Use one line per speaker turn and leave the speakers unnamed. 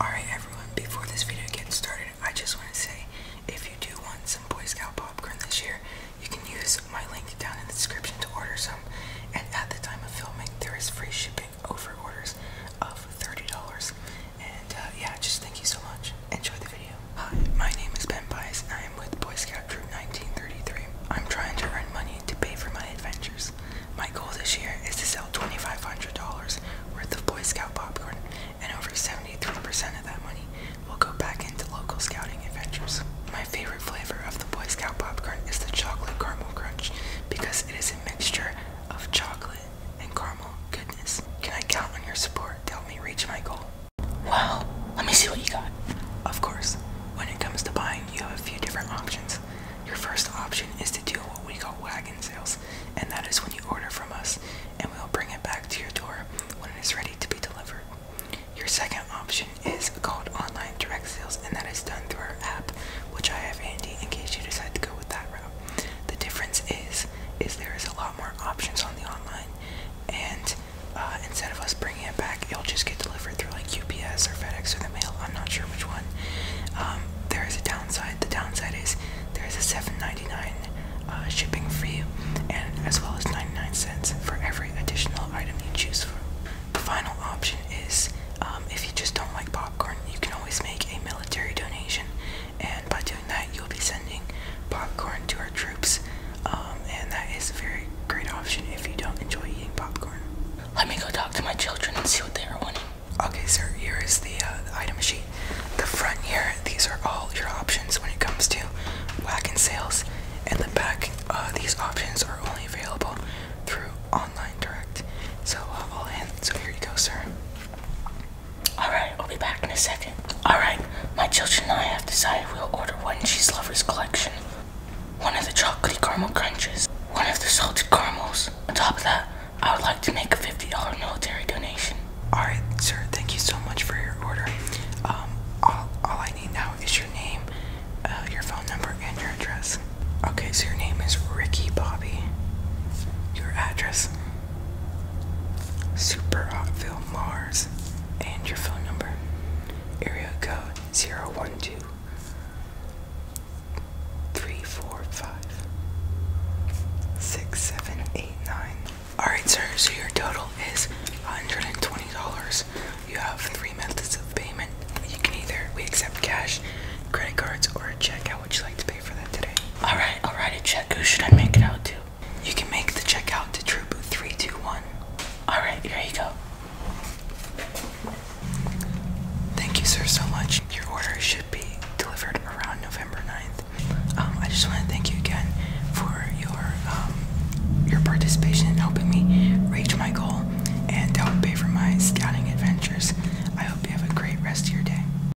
Alright everyone, before this video gets started, I just want to say, if you do want some Boy Scout popcorn this year, you can use my link down in the description to order some, and at the time of filming, there is free shipping over orders of $30, and uh, yeah, just thank you so much. Enjoy the video. Hi, my name is Ben Bias, and I am with Boy Scout Troop 1933. I'm trying to earn money to pay for my adventures. My goal this year is to sell twenty-five hundred dollars worth of Boy Scout popcorn, and over seventy-three percent of that money will go back into local scouting adventures. My favorite flavor of the Boy Scout popcorn is the chocolate caramel crunch because it is a mixture of chocolate and caramel goodness. Can I count on your support to help me reach my goal? Well, let me see what you got. Of course, when it comes to buying, you have a few different options. Your first option is to do what we call wagon sales, and that is when you order from us and we'll bring it back to your door when it is ready to be delivered. Your second option is called online direct sales, and that is done through our app, which I have handy in case you decide to go with that route. The difference is, is there is a lot more options on the online, and uh, uh, instead of us bringing it back, it'll just get delivered through like UPS or FedEx or the mail. I'm not sure which one. Um, there is a downside. The downside is there is a $7.99 uh, shipping fee, and as well as 99 cents for every additional item you choose from. The final option is um, if you just don't like popcorn, you can always make a military donation, and by doing that, you'll be sending popcorn to our troops um, and that is a very great option if you don't enjoy eating popcorn. Let me go talk to my children and see what they are wanting. Okay, sir, here is the, uh, item sheet. The front here, these are all your options when it comes to whack sales. And the back, uh, these options are only available through online direct. So uh, all in. So here you go, sir. All right, I'll be back in a second. Alright, my children and I have decided we'll order one cheese lovers collection. One of the chocolatey caramel crunches, one of the salted caramels. On top of that, I would like to make a $50 military donation. Alright, sir, thank you so much for your order. Um, all, I need now is your name, uh, your phone number, and your address. Okay, so your name is Ricky Bobby. Your address? Super Hot Mars and your phone number. Area code 012 Alright, sir, so your total is $120. You have three methods of payment. You can either we accept cash, credit cards, or a check. How would you like to pay for that today? Alright, I'll write a check. Who should I make it out to? You can make the checkout to Troop 321. Alright, here you go. Thank you, sir, so much. Your order should be delivered around November 9th. Um, I just want to thank you again for your um, your participation in helping me reach my goal and to help pay for my scouting adventures. I hope you have a great rest of your day.